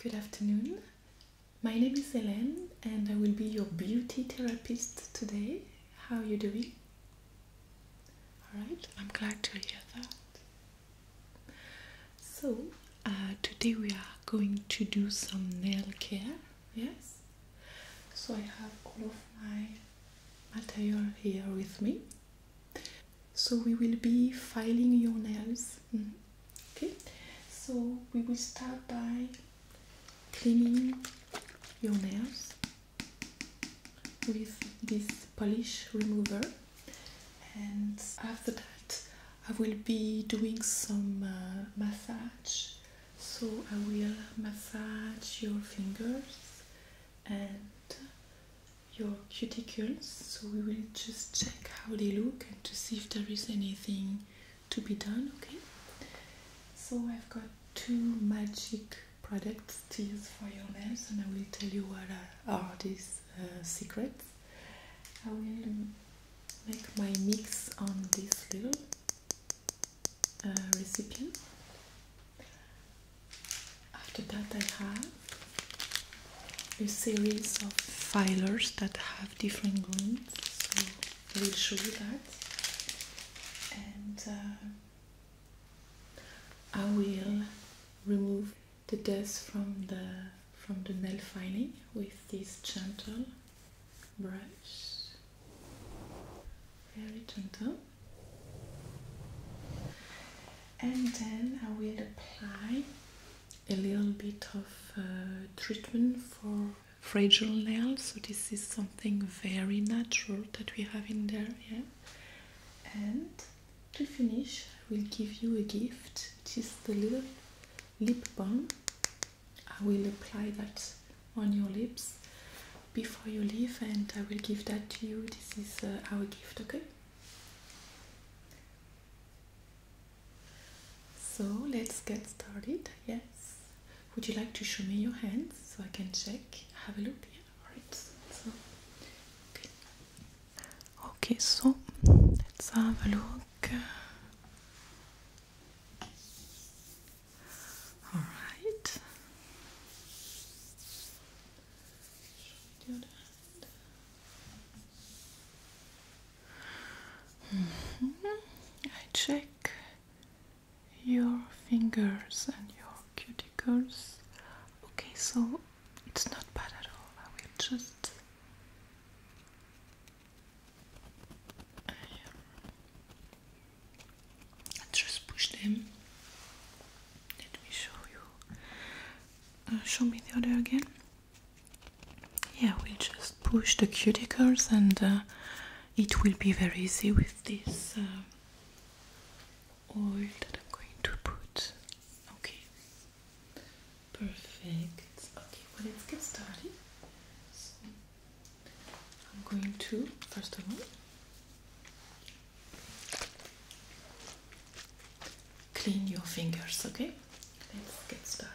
Good afternoon. My name is Hélène and I will be your beauty therapist today. How are you doing? Alright, I'm glad to hear that. So, uh, today we are going to do some nail care, yes? So, I have all of my material here with me. So, we will be filing your nails, mm, okay? So, we will start by cleaning your nails with this polish remover and after that I will be doing some uh, massage so I will massage your fingers and your cuticles so we will just check how they look and to see if there is anything to be done okay so I've got two magic products to use for your nails, and I will tell you what are these uh, secrets. I will make my mix on this little uh, recipient. After that, I have a series of filers that have different glues, so I will show you that. And uh, I will remove the dust from the from the nail filing with this gentle brush. Very gentle. And then I will apply a little bit of uh, treatment for fragile nails. So this is some very natural that we have in there, yeah. And to finish, I will give you a gift, which is the little lip balm. I will apply that on your lips before you leave, and I will give that to you. This is uh, our gift, okay? So let's get started. Yes, would you like to show me your hands so I can check? Have a look. Yeah, alright. So, okay. Okay, so let's have a look. Alright. Show me the mm-hmm. I check your fingers and your cuticles. Okay, so it's not bad at all. I will just. I, um, just push them. Let me show you. Uh, show me the other again. Yeah, we'll just push the cuticles and uh, it will be very easy with this. Uh, oil that I'm going to put. Okay, perfect. Okay, well, let's get started. So I'm going to, first of all, clean your fingers, okay? Let's get started.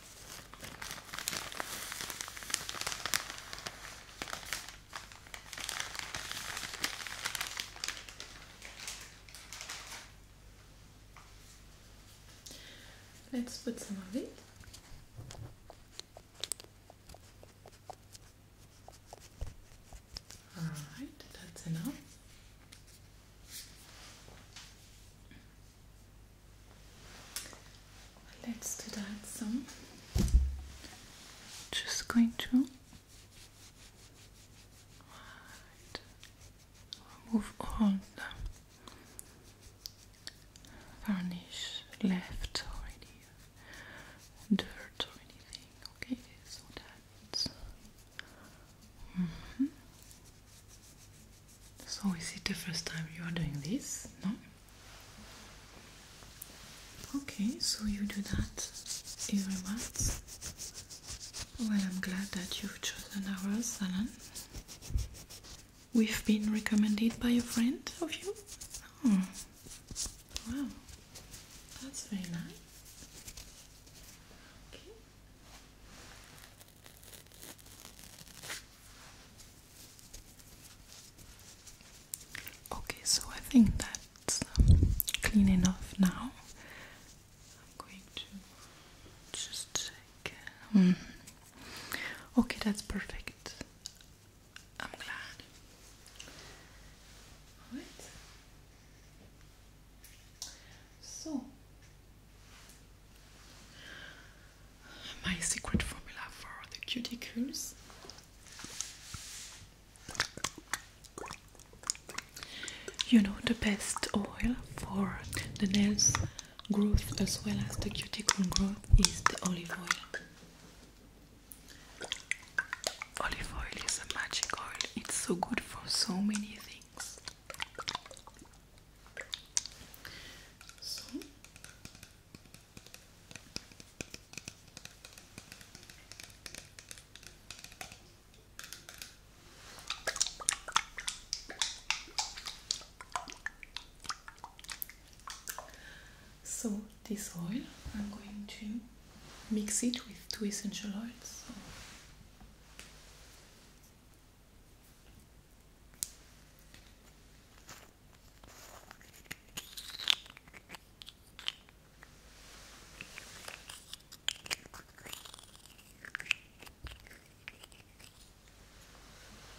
Let's put some of it. Alright, that's enough. Let's do that some. Just going to right. remove all the varnish left already, dirt or anything. Okay, so that's. Mm-hmm. So is it the first time you are doing this? No? Okay, so you do that every month. Well, I'm glad that you've chosen our salon. We've been recommended by a friend of you? Oh, wow, that's very nice. Okay. Okay, so I think that's um, clean enough now. I'm going to just check. Mm-hmm. Okay, that's perfect. I'm glad. Alright. So my secret formula for the cuticles. You know the best oil for the nails growth as well as the cuticle growth is the olive oil. Olive oil is a magic oil. It's so good for so many things. So so, this oil, I'm going to mix it with two essential oils.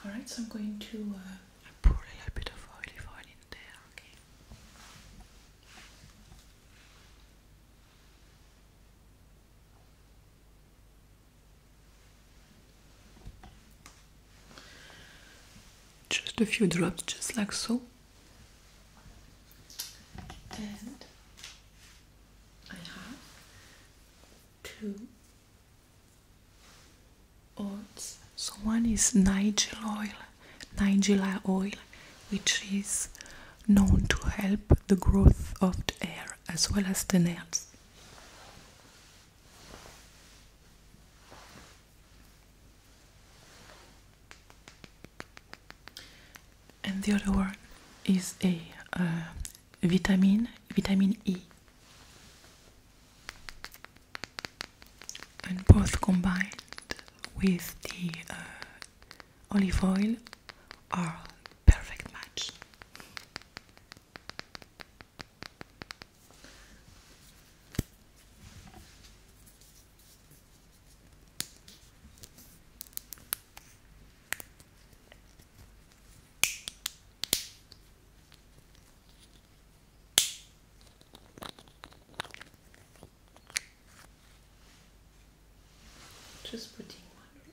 All right, so I'm going to uh, pour a little bit of olive oil in there. Okay. Just a few drops, just like so. And I have two oils. So one is Nigel Nigella oil, which is known to help the growth of the hair as well as the nails. And the other one is a uh, vitamin, vitamin E. And both combined with the uh, olive oil are perfect match. Just putting one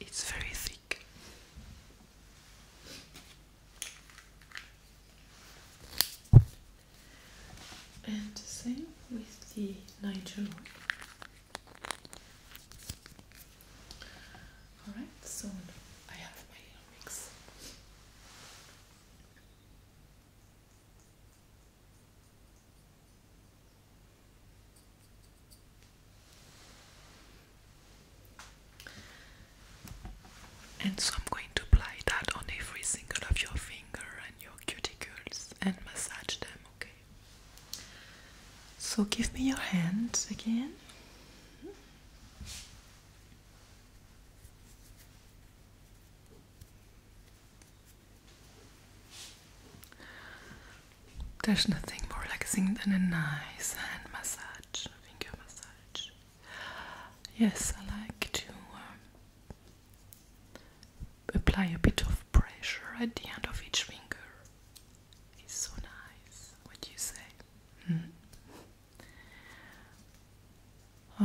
It's very thick. And the same with the Niger Alright, so I have my mix. And so I'm going to apply that on every single of your finger and your cuticles and massage them, okay? So give me your hands again. There's nothing more relaxing than a nice hand massage, finger massage. Yes, I like to um, apply a bit of pressure at the end of each finger. It's so nice. What do you say? Hmm.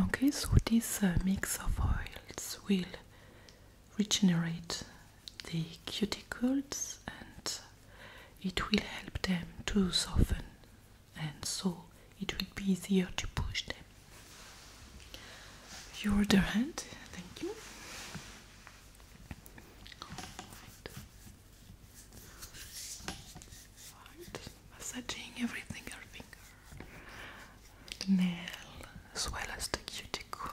Okay, so this uh, mix of oils will regenerate the cuticles and it will help them to soften and so it will be easier to push them. Your other hand, thank you. Massaging every single finger, nail as well as the cuticle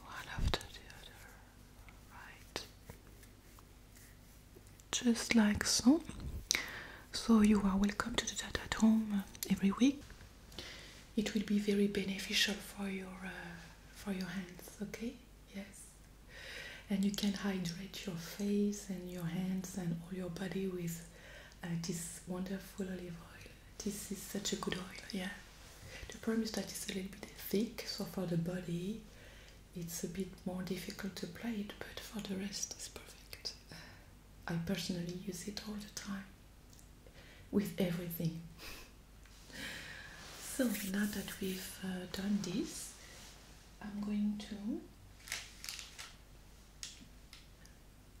one after the other, right? Just like so. So, you are welcome to do that at home uh, every week. It will be very beneficial for your uh, for your hands, okay? Yes. And you can hydrate your face and your hands and all your body with uh, this wonderful olive oil. This is such a good oil, yeah. The problem is that it's a little bit thick, so for the body it's a bit more difficult to apply it, but for the rest it's perfect. I personally use it all the time with everything. so now that we've uh, done this, I'm going to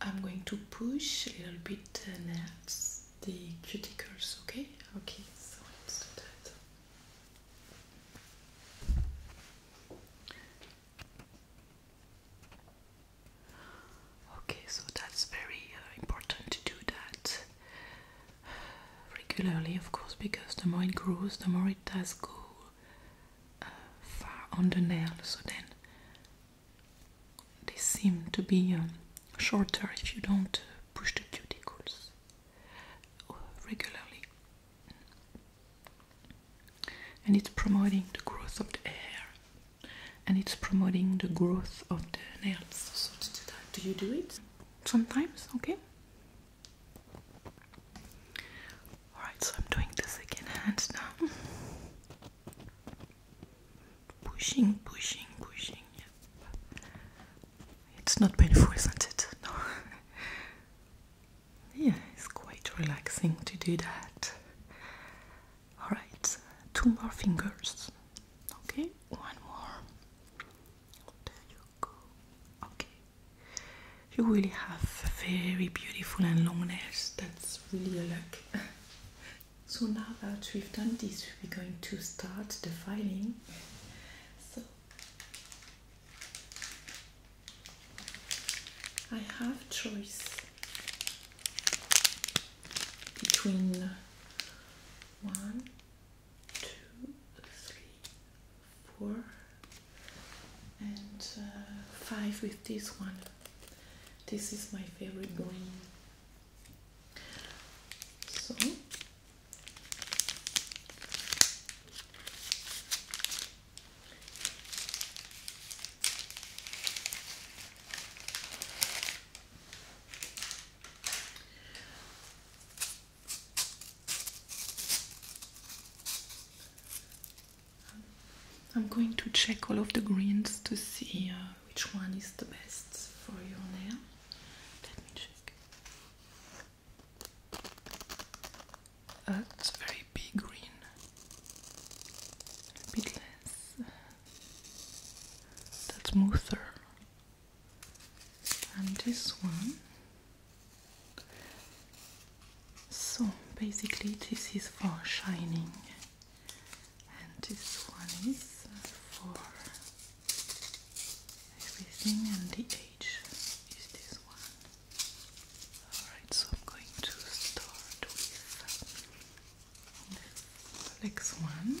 I'm going to push a little bit the nails the cuticles, okay? Okay, so let's do that. Okay, so that's very uh, important to do that regularly, of course, because the more it grows, the more it does go uh, far on the nail. So then they seem to be um, shorter if you don't push the cuticles uh, regularly, and it's promoting the growth of the hair and it's promoting the growth of the nails. do you do it sometimes? Okay. Alright, so I'm doing this again hands down. Pushing, pushing, pushing. It's not painful, isn't it? No. yeah, it's quite relaxing to do that. Alright, two more fingers. Okay, one more. There you go. Okay. You really have very beautiful and long nails. That's really a luck. So now that we've done this, we're going to start the filing. So I have choice between one, two, three, four, and uh, five with this one. This is my favorite green. So I'm going to check all of the greens to see uh, which one is the best for your nail. Let me check. Uh, very big green. A bit less. That's smoother. And this one. So basically, this is for shining and this one is uh, for everything and the age is this one alright so I'm going to start with next one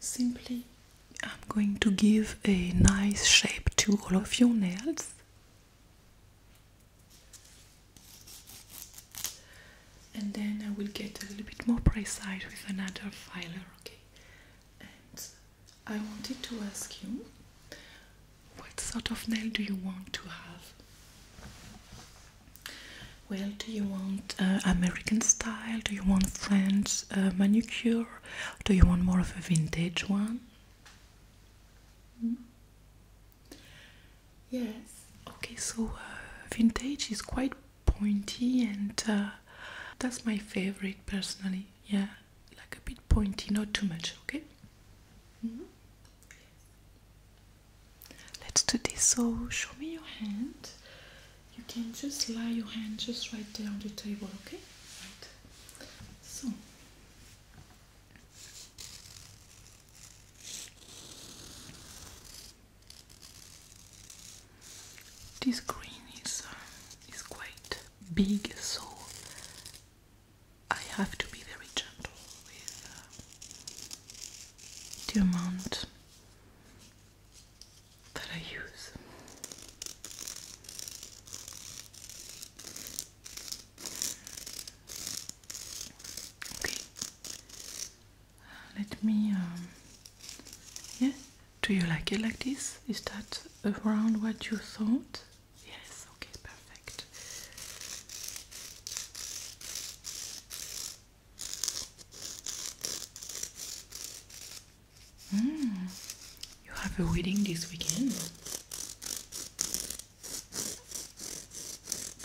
Simply, I'm going to give a nice shape to all of your nails. And then I will get a little bit more precise with another file. okay? And I wanted to ask you what sort of nail do you want to have? Well, do you want uh, American style? Do you want French uh, manicure? Do you want more of a vintage one? Hmm? Yes. Okay, so uh, vintage is quite pointy and that's my favorite personally. Yeah, like a bit pointy, not too much, okay? Mm-hmm. Let's do this. So, show me your hand. You can just lay your hand just right there on the table, okay? Right. So, this green is uh, is quite big, so I have to be very gentle with uh, the amount that I use. Okay, let me. Um, do you like it like this? Is that around what you thought? Yes, okay, perfect. Mm, you have a wedding this weekend.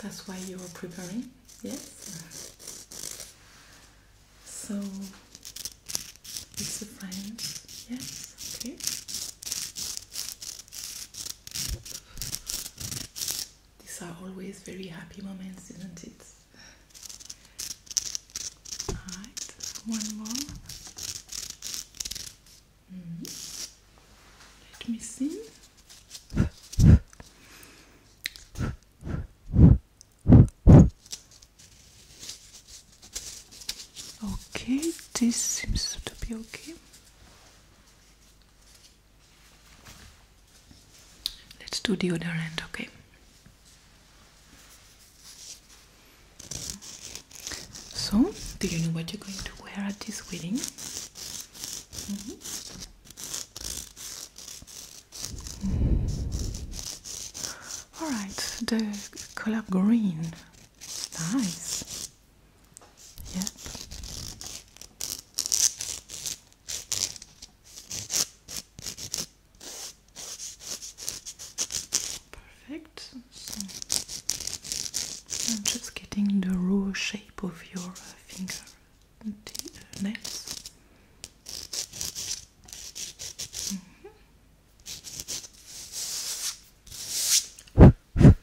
That's why you are preparing, yes? So, it's a friend, yes, okay. These are always very happy moments, isn't it? Alright, one more. Mm-hmm. Let me see. Okay, this seems to be okay. Let's do the other end, okay? So, do you know what you're going to wear at this wedding? Mm-hmm. Alright, the color green Nice. Yep. Perfect. I'm just getting the raw shape of your uh, finger uh, uh, nails. Mm-hmm. Alright,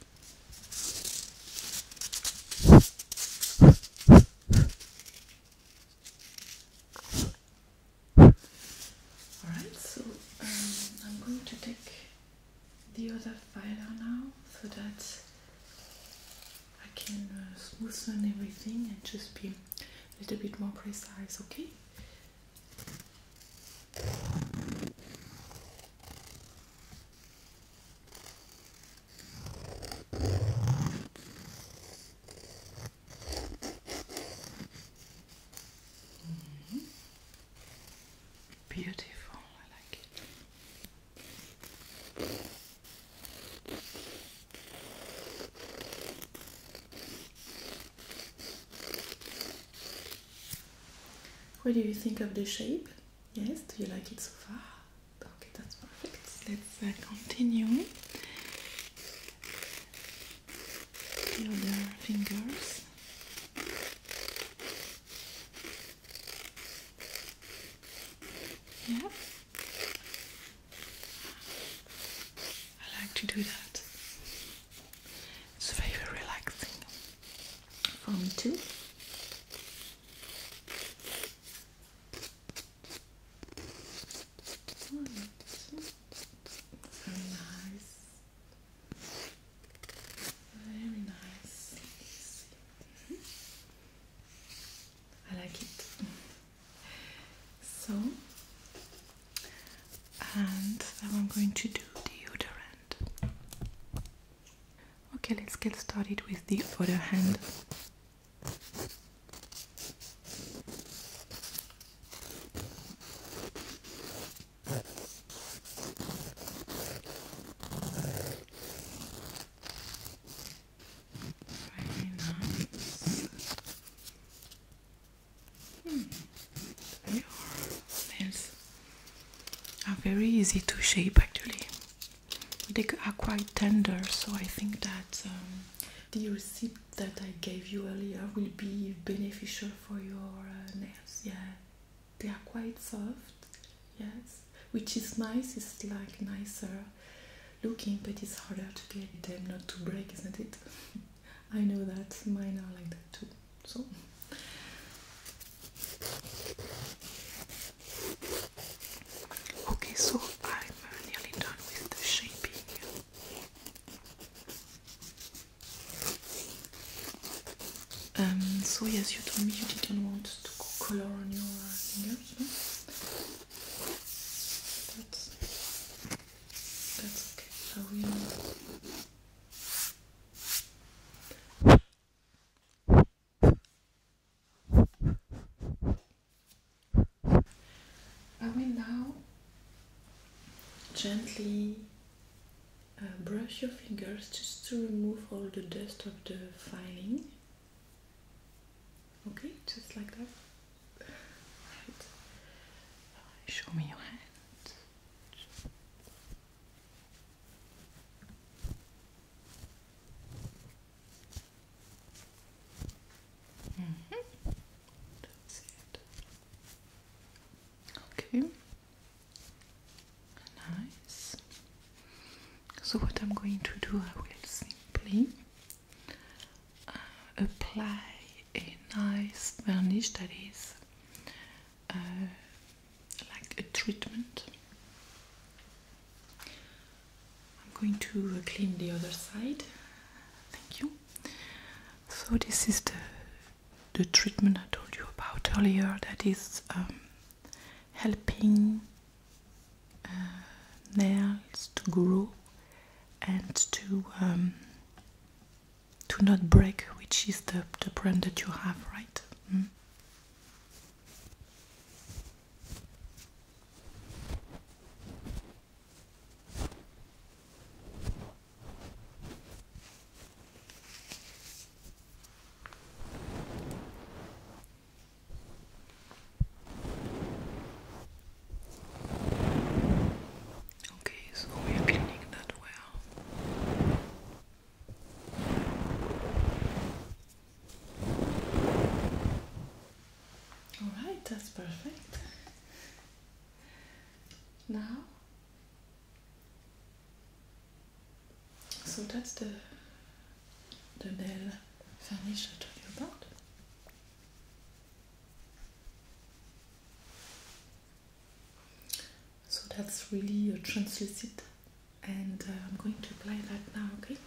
so um, I'm going to take the other file now so that I can uh, smoothen everything and just be a little bit more precise, okay? Mm -hmm. Beautiful, I like it. What do you think of the shape? Yes, do you like it so far? Okay, that's perfect. Let's uh, continue. The other fingers. Yeah. I like to do that. It's very relaxing for me too. nice. Very nice. I like it. So, and now I'm going to do deodorant. Okay, let's get started with the other hand. Hmm. nails are very easy to shape actually. They are quite tender, so I think that um, the receipt that I gave you earlier will be beneficial for your uh, nails. Yeah, they are quite soft. Yes, which is nice. It's like nicer looking, but it's harder to get them not to break, isn't it? I know that mine are like that too. So. Okay, so I'm nearly done with the shaping. Um, so yes, you told me you didn't want to color on your fingers, no? That's, that's okay. I will I will now gently uh, brush your fingers just to remove all the dust of the filing. Okay, just like that. Right. Show me your hand. Mm-hmm. Okay. Nice. So what I'm going to do, I will simply uh, apply a nice varnish that is uh, like a treatment. I'm going to uh, clean the other side. Thank you. So this is the the treatment I told you about earlier that is um, helping uh, nails to grow and to um, to not break, which is the, the problem that you have, right? Mm. Okay, so we are cleaning that well. Alright, that's perfect. Now, so that's the the nail varnish I told you about. So that's really translucent, and uh, I'm going to apply that now, okay?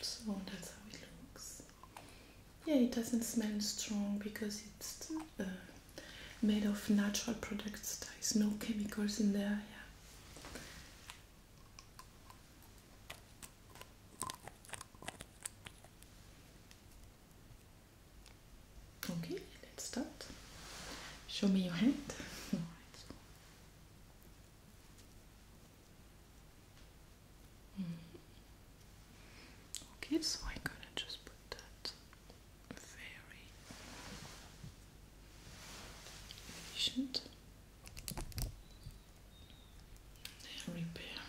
so that's how it looks yeah it doesn't smell strong because it's uh, made of natural products there's no chemicals in there yeah Okay, let's start. Show me your hand. Hmm. Okay, so I'm gonna just put that very efficient repair.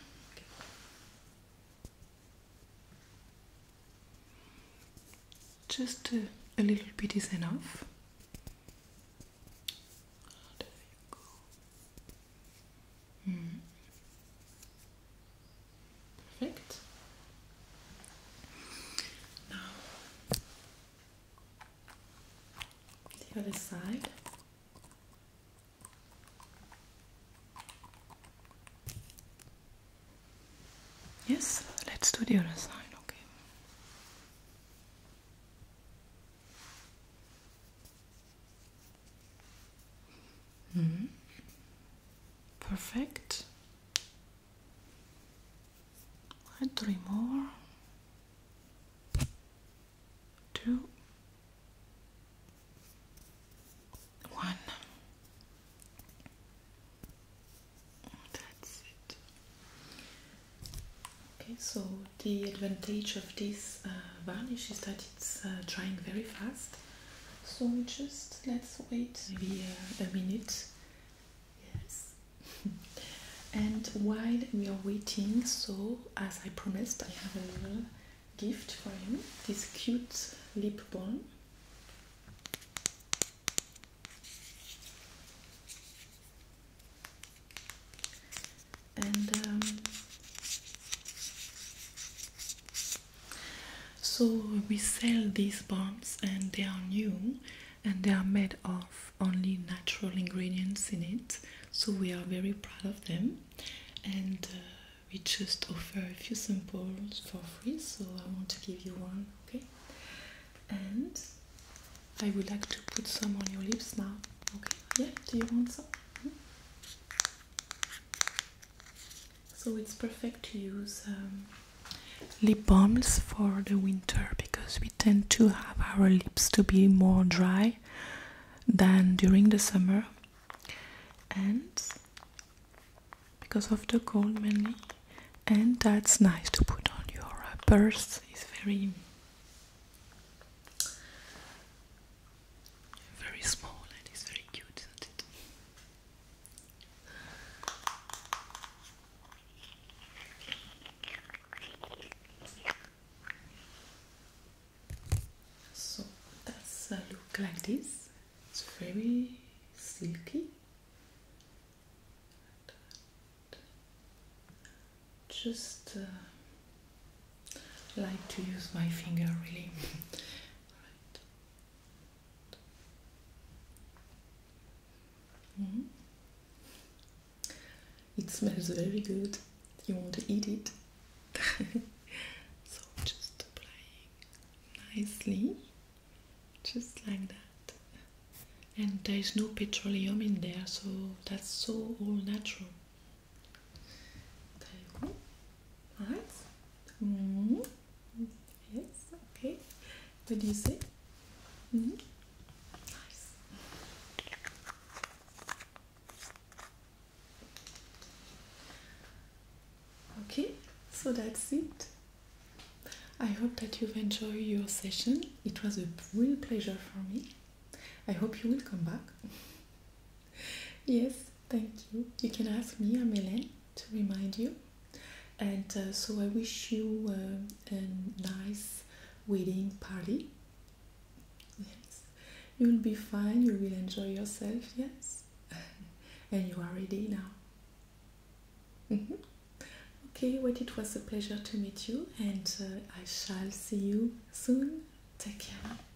Just a little bit is enough. there you go. Perfect. Now, the other side. Yes, let's do the other side, okay. Mm. Perfect. And three more. Two. One. That's it. Okay, so the advantage of this uh, varnish is that it's drying uh, very fast so just let's wait maybe uh, a minute yes and while we are waiting so as i promised i have a little gift for you this cute lip balm and um, so we sell these bombs and they are new and they are made of only natural ingredients in it so we are very proud of them and uh, we just offer a few samples for free so i want to give you one okay and i would like to put some on your lips now okay yeah do you want some so it's perfect to use um, lip balms for the winter because we tend to have our lips to be more dry than during the summer and because of the cold mainly and that's nice to put on your purse it's very very small and it's very cute, isn't it? So that's a look like this. It's very silky just uh, like to use my finger really. Mm-hmm. It smells very good. You want to eat it? so just applying nicely, just like that. And there is no petroleum in there, so that's so all natural. 달고 what? Mm. Yes, okay. What do you say? Mm. Nice. Okay, so that's it. I hope that you've enjoyed your session. It was a real pleasure for me. I hope you will come back yes, thank you. You can ask me, I'm Hélène, to remind you. And uh, so I wish you uh, a nice wedding party. Yes, you'll be fine, you will enjoy yourself, yes. and you are ready now. Mm-hmm. Okay, well, it was a pleasure to meet you, and uh, I shall see you soon. Take care.